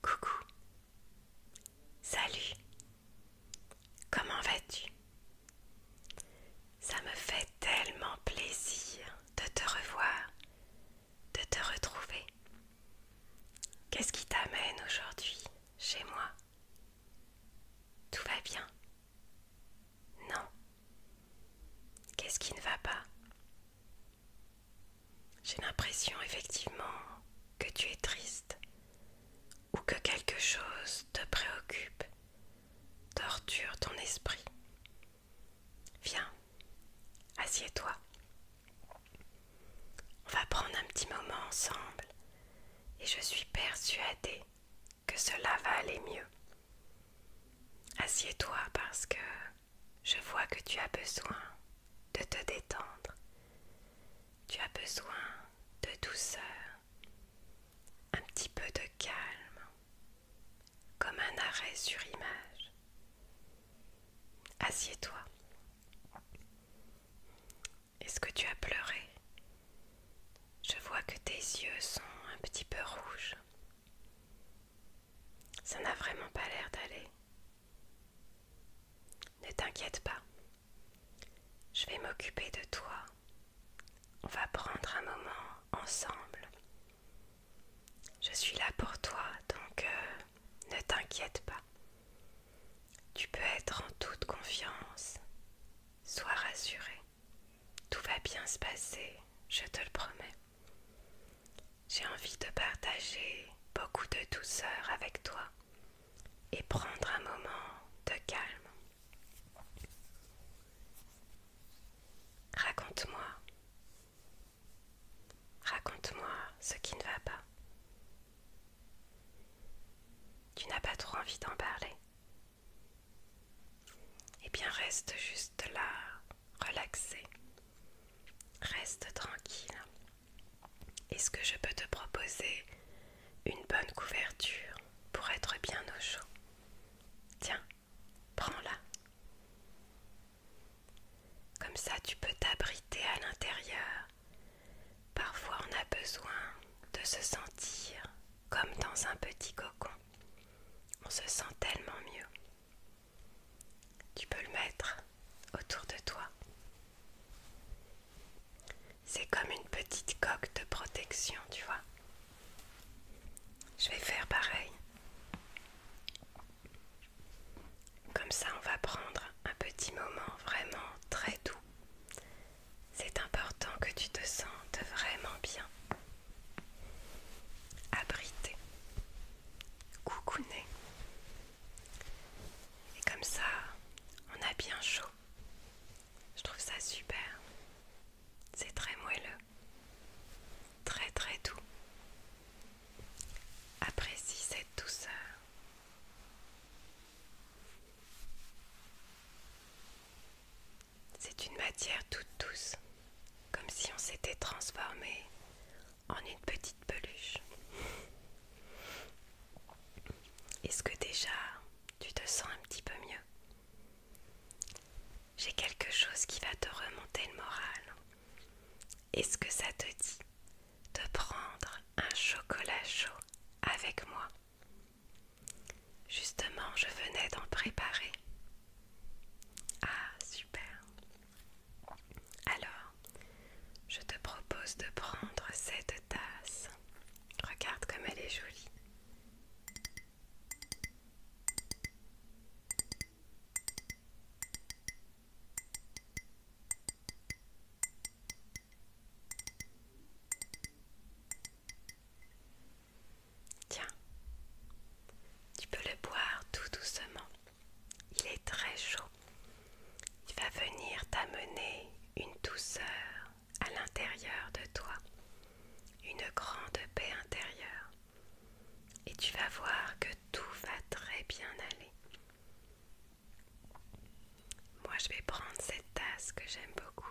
Coucou. Salut. Comment vas-tu Ça me fait tellement plaisir de te revoir, de te retrouver. Qu'est-ce qui t'amène aujourd'hui chez moi Tout va bien Non. Qu'est-ce qui ne va pas j'ai l'impression effectivement que tu es triste ou que quelque chose te préoccupe, torture ton esprit. Viens, assieds-toi. On va prendre un petit moment ensemble et je suis persuadée que cela va aller mieux. Assieds-toi parce que je vois que tu as besoin de te détendre. Tu as besoin de douceur, un petit peu de calme, comme un arrêt sur image. Assieds-toi. Est-ce que tu as pleuré Je vois que tes yeux sont un petit peu rouges. Ça n'a vraiment pas l'air d'aller. Ne t'inquiète pas. Je vais m'occuper de toi. On va prendre un moment ensemble. Je suis là pour toi, donc euh, ne t'inquiète pas. Tu peux être en toute confiance. Sois rassuré. Tout va bien se passer, je te le promets. J'ai envie de partager beaucoup de douceur avec toi et prendre un moment de calme. Raconte-moi. Raconte-moi ce qui ne va pas. Tu n'as pas trop envie d'en parler. Eh bien, reste juste là, relaxé. Reste tranquille. Est-ce que je peux te proposer une bonne couverture pour être bien au chaud Tiens, prends-la. Comme ça, tu peux t'abriter à l'intérieur. Parfois, on a besoin de se sentir comme dans un petit cocon. On se sent tellement mieux. Tu peux le mettre autour de toi. C'est comme une petite coque de protection, tu vois. Je vais faire pareil. Comme ça, on va prendre un petit moment vraiment très doux. C'est important que tu te sentes vraiment bien. Abrité nez Et comme ça, on a bien chaud. Je trouve ça super. C'est très moelleux, très très doux. Apprécie cette douceur. C'est une matière toute douce, comme si on s'était transformé en une petite peluche. Est-ce que déjà tu te sens un petit peu mieux J'ai quelque chose qui va te remonter le moral. Est-ce que ça te dit de prendre un chocolat chaud avec moi Justement, je venais d'en préparer. Ah, super. Alors, je te propose de prendre cette tasse. Regarde comme elle est jolie. Tiens, tu peux le boire tout doucement. Il est très chaud. Il va venir t'amener une douceur à l'intérieur de toi, une grande paix intérieure. Et tu vas voir que tout va très bien aller. Moi, je vais prendre cette tasse que j'aime beaucoup.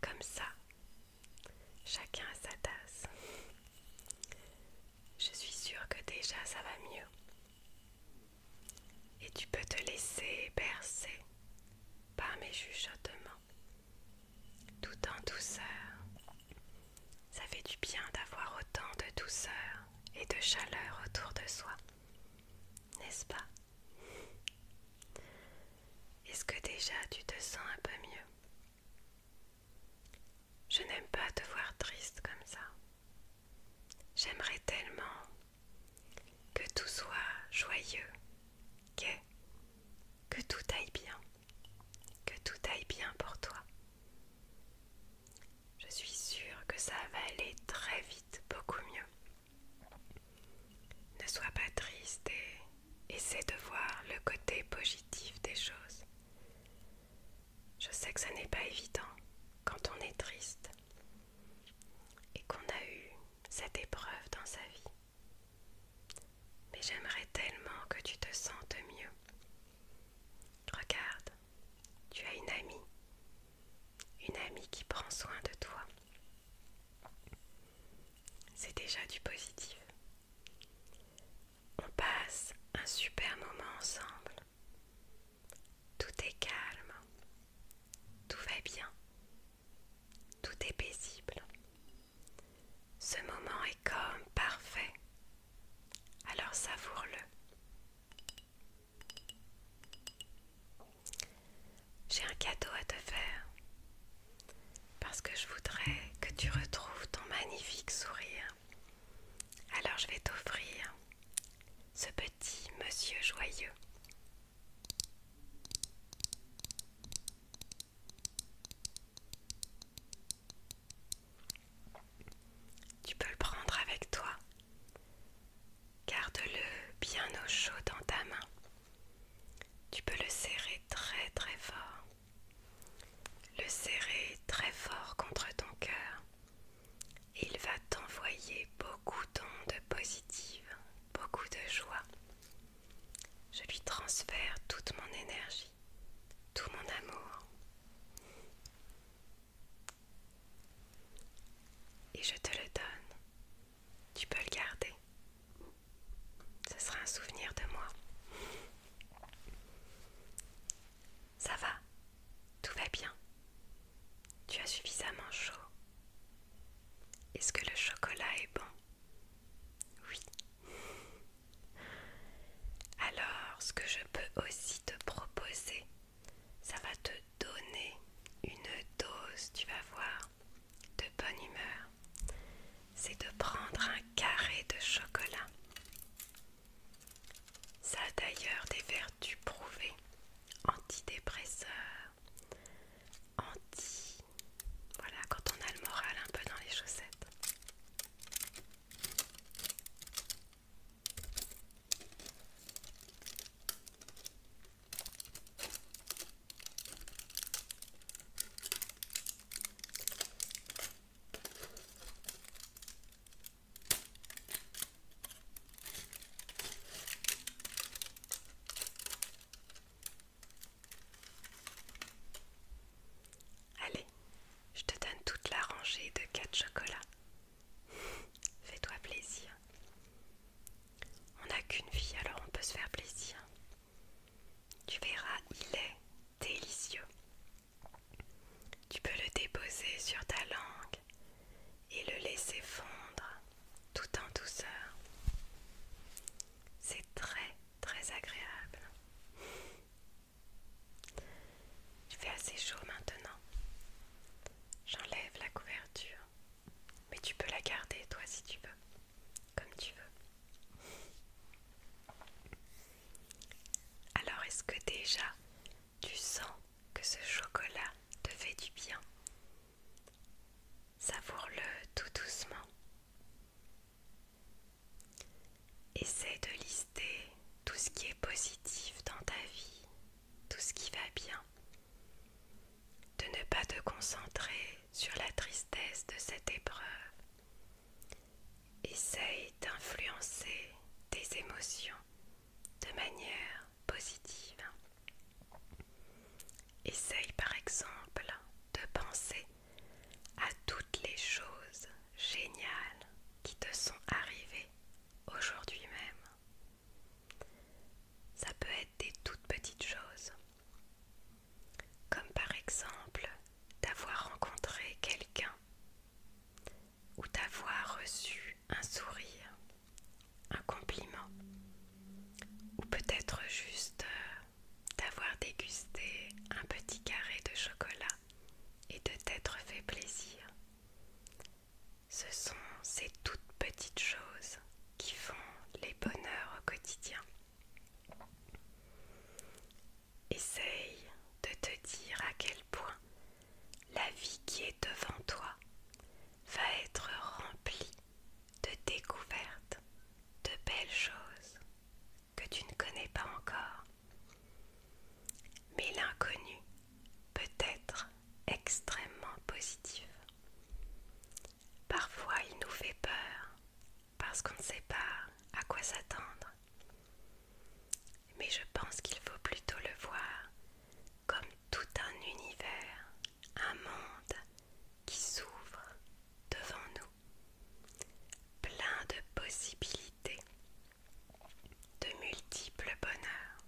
Comme ça, chacun à sa tasse. Je suis sûre que déjà ça va mieux. Et tu peux te laisser bercer par mes chuchotements, tout en douceur. Ça fait du bien d'avoir autant de douceur et de chaleur autour de soi, n'est-ce pas est-ce que déjà tu te sens un peu mieux Je n'aime pas te voir triste comme ça. J'aimerais tellement que tout soit joyeux, gai, que tout aille bien, que tout aille bien pour toi. Je suis sûre que ça va aller très vite, beaucoup mieux. Ne sois pas triste et essaie de voir le côté positif des choses. Je sais que ce n'est pas évident quand on est triste et qu'on a eu cette épreuve dans sa vie. Mais j'aimerais tellement que tu te sentes mieux. Regarde, tu as une amie, une amie qui prend soin de toi, c'est déjà du positif. On passe un super moment ensemble. Tout est calme. Tout va bien. Tout est paisible. Ce moment est comme parfait. Alors savoure-le. J'ai un cadeau à te faire parce que je voudrais que tu retrouves ton magnifique sourire. Alors je vais t'offrir ce petit monsieur joyeux. Tu peux le prendre avec toi Garde-le bien au chaud dans ta main. Tu peux le serrer très très fort. Le serrer très fort contre ton cœur. Il va t'envoyer beaucoup d'ondes positives, beaucoup de joie. Je lui transfère toute mon énergie, tout mon amour. Et je te le donne. Tu peux le garder. Ce sera un souvenir de moi. Ça va, tout va bien. Tu as suffisamment chaud. Est-ce que le chocolat est bon Oui. Alors, ce que je peux aussi te proposer, ça va te donner une dose, tu vas voir, de bonne humeur, c'est de prendre un carré de chocolat. Ça a d'ailleurs des vertus prouvées, antidépresseurs, anti... Voilà, quand on a le moral un peu dans les chaussettes. Allez, je te donne toute la rangée de quatre chocolats. Fais-toi plaisir. On n'a qu'une vie, alors on peut se faire plaisir. Tu verras, il est délicieux. Tu peux le déposer sur ta langue et le laisser fondre tout en douceur. C'est très très agréable. Il fait assez chaud maintenant. J'enlève la couverture. Mais tu peux la garder, toi, si tu veux. Comme tu veux. Alors, est-ce que déjà, tu sens que ce chocolat te fait du bien Savoure-le tout doucement. Essaye de lister tout ce qui est positif dans ta vie, tout ce qui va bien, de ne pas te concentrer sur la tristesse de cette épreuve. Essaye d'influencer tes émotions de manière positive. Essaye par exemple de penser à toutes les choses géniales qui te sont arrivées aujourd'hui même. Ça peut être des toutes petites choses, comme par exemple d'avoir rencontré quelqu'un ou d'avoir reçu un sourire, un compliment, ou peut-être juste euh, d'avoir dégusté un petit carré de chocolat et de t'être fait plaisir. Ce sont ces toutes petites choses qui font les bonheurs au quotidien. Essaye de te dire à quel point la vie qui est devant toi va être remplie de découvertes, de belles choses que tu ne connais pas encore. Mais l'inconnu peut être extrêmement positif, Parfois il nous fait peur parce qu'on ne sait pas à quoi s'attendre. Mais je pense qu'il faut plutôt le voir comme tout un univers, un monde qui s'ouvre devant nous. Plein de possibilités, de multiples bonheurs.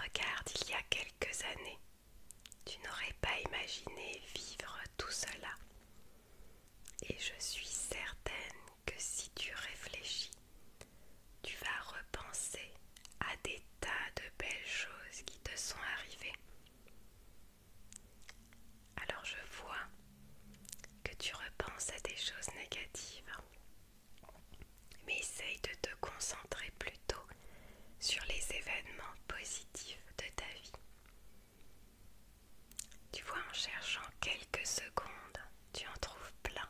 Regarde, il y a quelques années, tu n'aurais pas imaginé vivre tout cela. Et je suis certaine que si tu réfléchis, tu vas repenser à des tas de belles choses qui te sont arrivées. Alors je vois que tu repenses à des choses négatives mais essaye de te concentrer plutôt sur les événements positifs de ta vie. Tu vois, en cherchant quelques secondes, tu en trouves plein.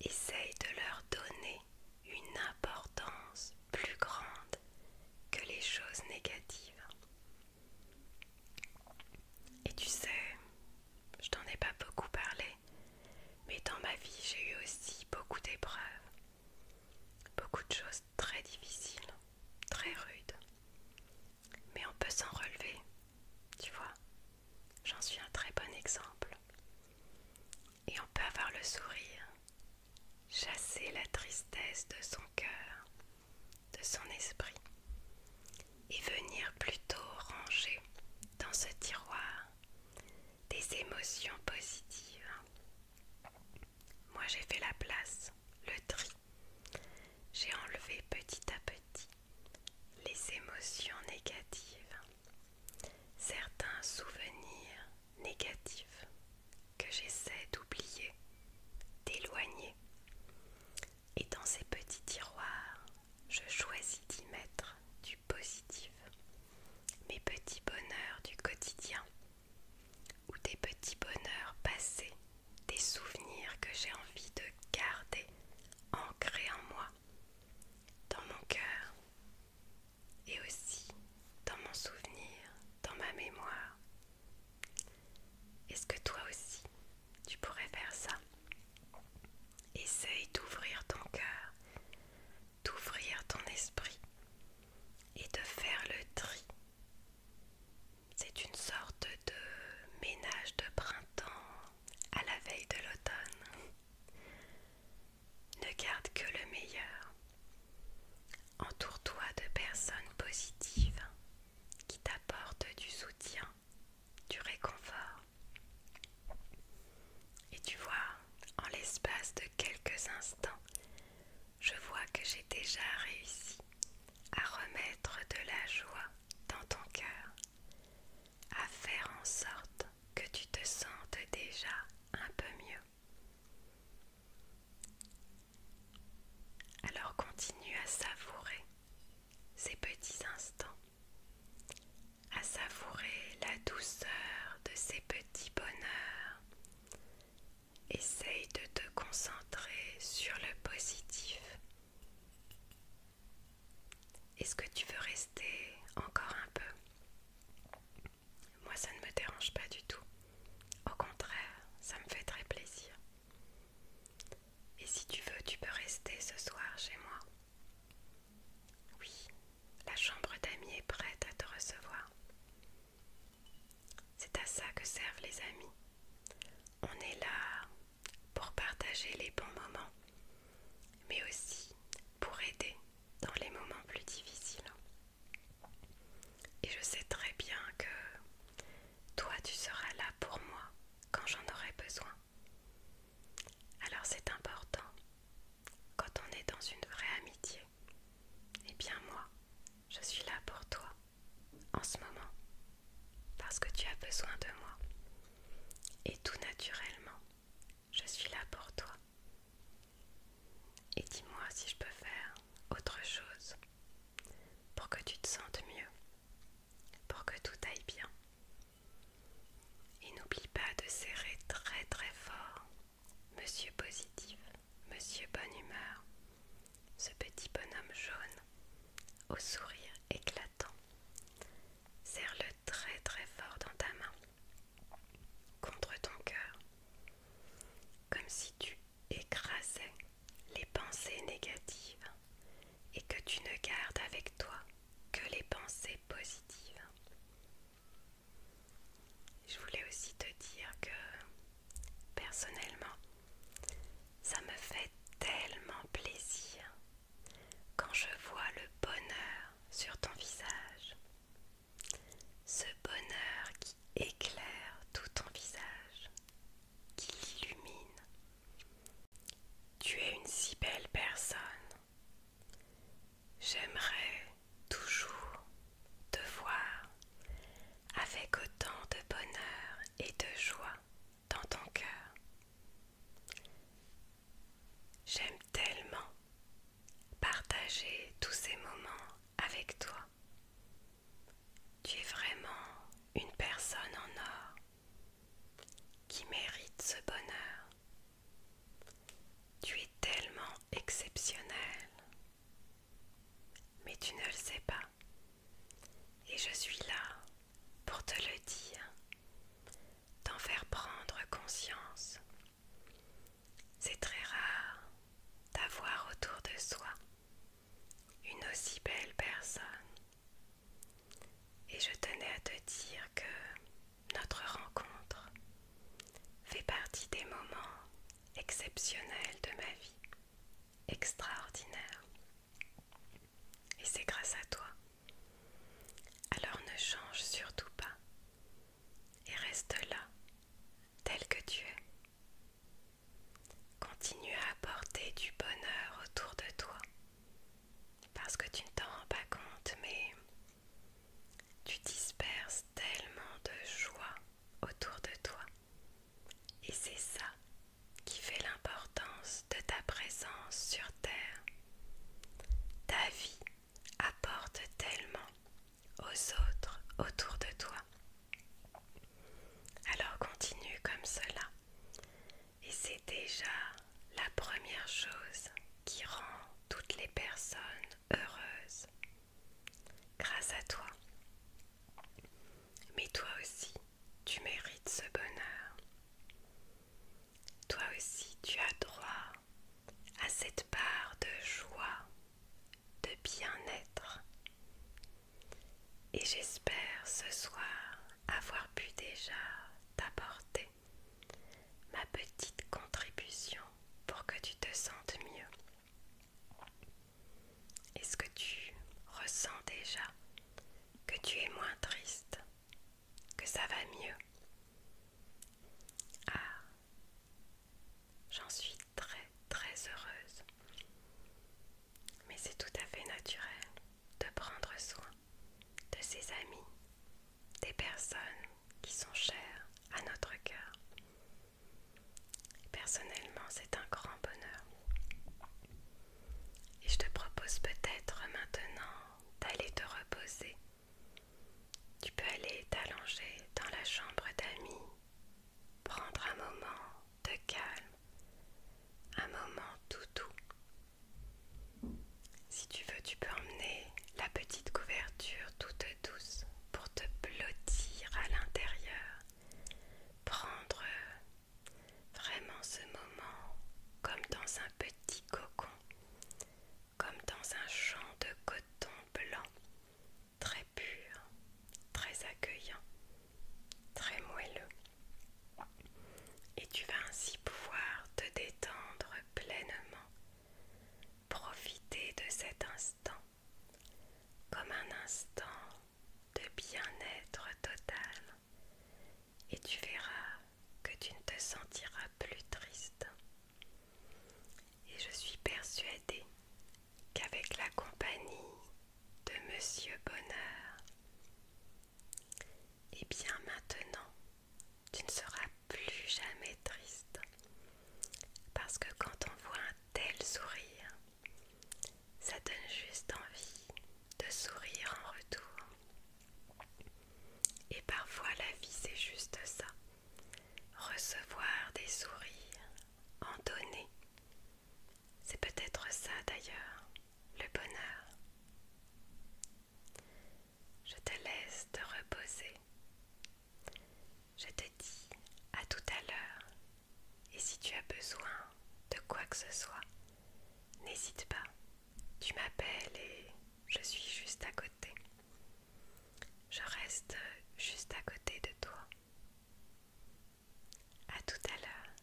Essaye de leur donner une importance plus grande que les choses négatives. Et tu sais, je t'en ai pas beaucoup parlé, mais dans ma vie j'ai eu aussi beaucoup d'épreuves, beaucoup de choses très difficiles, très rudes. Mais on peut s'en relever, tu vois. J'en suis un très bon exemple. Et on peut avoir le sourire, chasser la tristesse de son cœur, de son esprit, et venir plutôt ranger dans ce tiroir des émotions positives. Moi j'ai fait la place, le tri. J'ai enlevé petit à petit les émotions négatives, certains souvenirs négatifs que j'essaie d'oublier, d'éloigner. Et dans ces petits tiroirs, je choisis d'y mettre du positif, mes petits bonheurs du quotidien ou des petits bonheurs passés, des souvenirs que j'ai envie de garder ancrés en moi, dans mon cœur et aussi dans mon souvenir, dans ma mémoire. Est-ce que toi aussi, tu pourrais faire ça Essaye d'ouvrir ton cœur, d'ouvrir ton esprit et de faire le tri. C'est une sorte de ménage de printemps à la veille de l'automne. Ne garde que le meilleur. Entoure-toi de personnes positives qui t'apportent du soutien du réconfort. Et tu vois, en l'espace de quelques instants, je vois que j'ai déjà réussi à remettre de la joie dans ton cœur, à faire en sorte que tu te sentes déjà un peu mieux. Alors continue à savourer ces petits instants à savourer la douceur de ces petits bonheurs. Essaye de te concentrer sur le positif. Est-ce que tu veux rester encore un peu Moi, ça ne me dérange pas du tout. Au contraire, ça me fait très plaisir. Et si tu veux, tu peux rester ce soir chez moi. Oui, la chambre d'amis est prête à te recevoir. C'est à ça que servent les amis. On est là pour partager les bons moments, mais aussi pour aider dans les moments plus difficiles. Et je sais très bien que toi tu seras là pour moi quand j'en aurai besoin. Alors c'est important, quand on est dans une vraie amitié, eh bien moi, je suis là pour toi, en ce moment, parce que tu as besoin de moi. Et tout naturellement, je suis là pour toi. Et dis-moi si je peux faire autre chose pour que tu te sentes mieux, pour que tout aille bien. Et n'oublie pas de serrer très très fort, monsieur positif, monsieur bonne humeur, ce petit bonhomme jaune au sourire éclatant. Serre-le très très fort dans ta main, contre ton cœur, comme si tu écrasais les pensées négatives et que tu ne gardes avec toi que les pensées positives. Je voulais aussi te dire que personnellement, ça me fait tellement plaisir quand je vois le bonheur sur ton visage. Ce bonheur qui éclaire tout ton visage, qui l'illumine. Tu es une si belle personne. J'aimerais toujours te voir avec autant de bonheur et de joie dans ton cœur. J'aime tellement partager tous ces moments avec toi. Tu es vraiment une personne en or qui mérite ce bonheur. Tu es tellement exceptionnel, mais tu ne le sais pas. Et je suis là pour te le dire, t'en faire prendre conscience. C'est très rare d'avoir autour de soi une aussi belle personne. Et je tenais à te dire que notre rencontre fait partie des moments exceptionnels de ma vie, extraordinaires. Et c'est grâce à toi. Alors ne change surtout pas et reste là, tel que tu es. Continue à apporter du bonheur autour de toi parce que tu ne t'en rends pas compte, mais tu disperses tellement de joie autour de toi. Et c'est ça qui fait l'importance de ta présence sur Terre. Ta vie apporte tellement aux autres autour de toi. Alors continue comme cela. Et c'est déjà la première chose qui rend toutes les personnes heureuses. Grâce à toi. Mais toi aussi, tu mérites ce bonheur. Toi aussi, tu as droit à cette part de joie, de bien-être. Et j'espère ce soir avoir pu déjà t'apporter ma petite contribution pour que tu te sentes mieux. Est-ce que tu ressens déjà que tu es moins triste, que ça va mieux Ah, j'en suis très très heureuse. Mais c'est tout à fait naturel de prendre soin de ses amis, des personnes qui sont chères à notre cœur. Personnellement, c'est un grand bonheur. Et je te propose peut-être maintenant d'aller te reposer. Tu peux aller t'allonger dans la chambre d'amis, prendre un moment de calme, un moment tout doux si tu veux, tu peux emmener la petite couverture toute douce pour te blottir à l'intérieur. Prendre vraiment ce moment comme dans un petit cocon, comme dans un champ de coton blanc, très pur, très accueillant, très moelleux. Et tu vas ainsi pouvoir te détendre pleinement. profiter de cet instant comme un instant de bien-être total et tu verras que tu ne te sentiras plus triste. Et je suis persuadée qu'avec la compagnie de Monsieur Bonheur, et eh bien maintenant, tu ne seras plus jamais triste. Parce que quand on voit un tel sourire, ça donne juste envie de sourire en retour. Et parfois la vie c'est juste ça. Recevoir des sourires, en donner. C'est peut-être ça d'ailleurs, le bonheur. Je te laisse te reposer. Je te dis à tout à l'heure. Et si tu as besoin de quoi que ce soit, n'hésite pas. Tu m'appelles et je suis juste à côté. Je reste juste à côté de toi. À tout à l'heure.